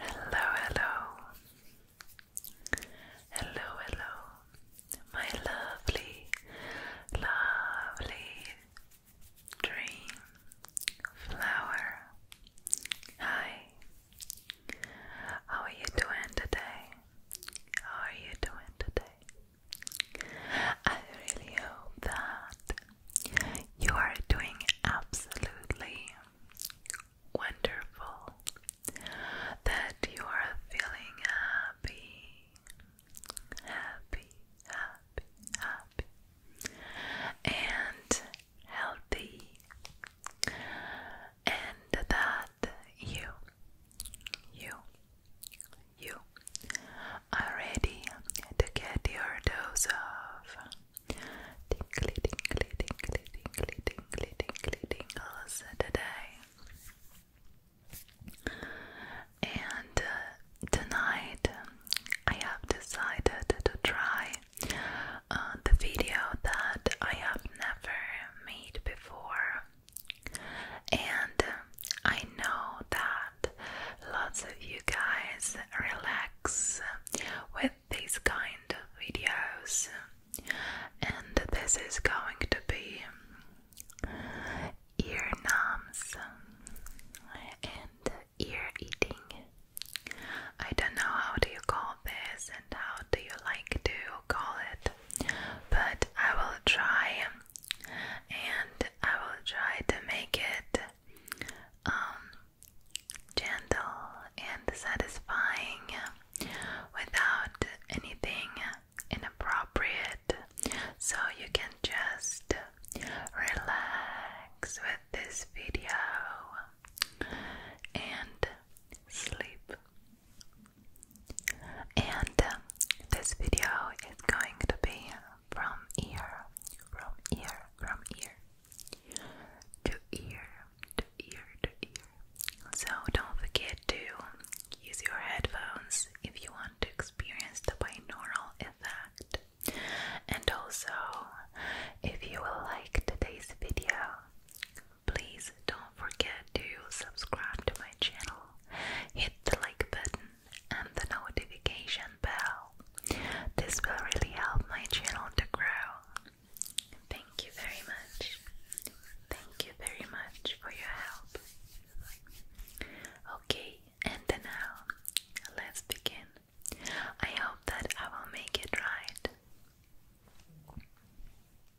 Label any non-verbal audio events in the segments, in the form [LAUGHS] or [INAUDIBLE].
Hello, hello, hello, hello, my lovely, lovely dream flower. Hi, how are you doing today? How are you doing today? I really hope that you are doing absolutely wonderful, that you are feeling happy, happy, happy, happy, and healthy, and that you, you, you are ready to get your dose of tingly, tingly, tingly, tingly, tingly, tingly, tingles today. And uh, tonight I have decided to try uh, the video that I have never made before. And uh, I know that lots of you guys relax with these kind of videos, and this is going to be ear numbs and ear eating. I don't know how do you call this and how do you like to call it, but I will try and I will try to make it um, gentle and satisfying without anything inappropriate, so you can just relax with this video and sleep. And uh, this video is going to be from ear, from ear, from ear to ear, to ear, to ear. So don't forget to use your headphones if you want to experience the binaural effect. And also, if you will like today's video, please don't forget to subscribe to my channel, hit the like button and the notification bell. This will really help my channel to grow. Thank you very much. Thank you very much for your help. Okay, and now let's begin. I hope that I will make it right.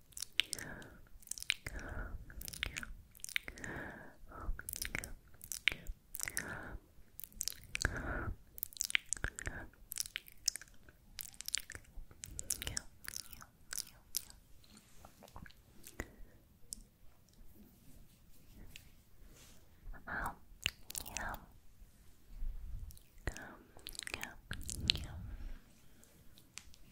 Yum, yum, yum.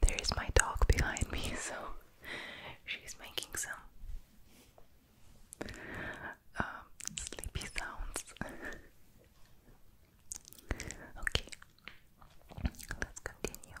There is my dog behind me, [LAUGHS] so she's making some um, sleepy sounds. [LAUGHS] okay, let's continue.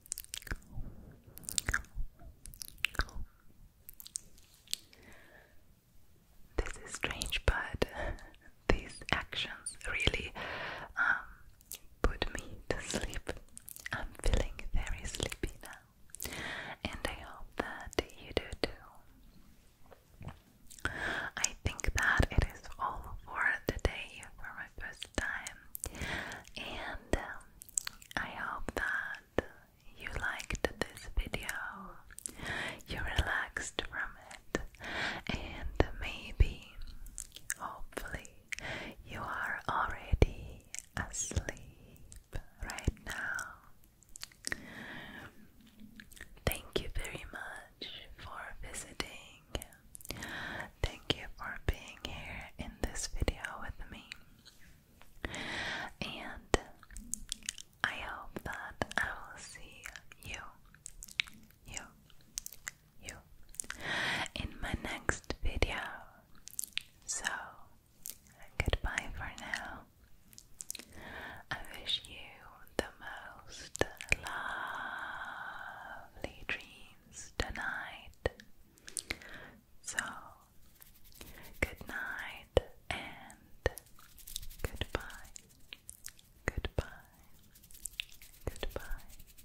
This is strange, but [LAUGHS] these actions really um, put me to sleep. I'm feeling very sleepy now, and I hope that you do too. I think that it is all for today for my first time, and um, I hope that you liked this video, you relaxed from it, and maybe, hopefully, you are already asleep right now. Thank you very much for visiting. Thank you for being here in this video with me. And I hope that I will see you, you, you in my next video. So, goodbye for now. I wish you the most lovely dreams tonight. So, good night and goodbye. Goodbye. Goodbye.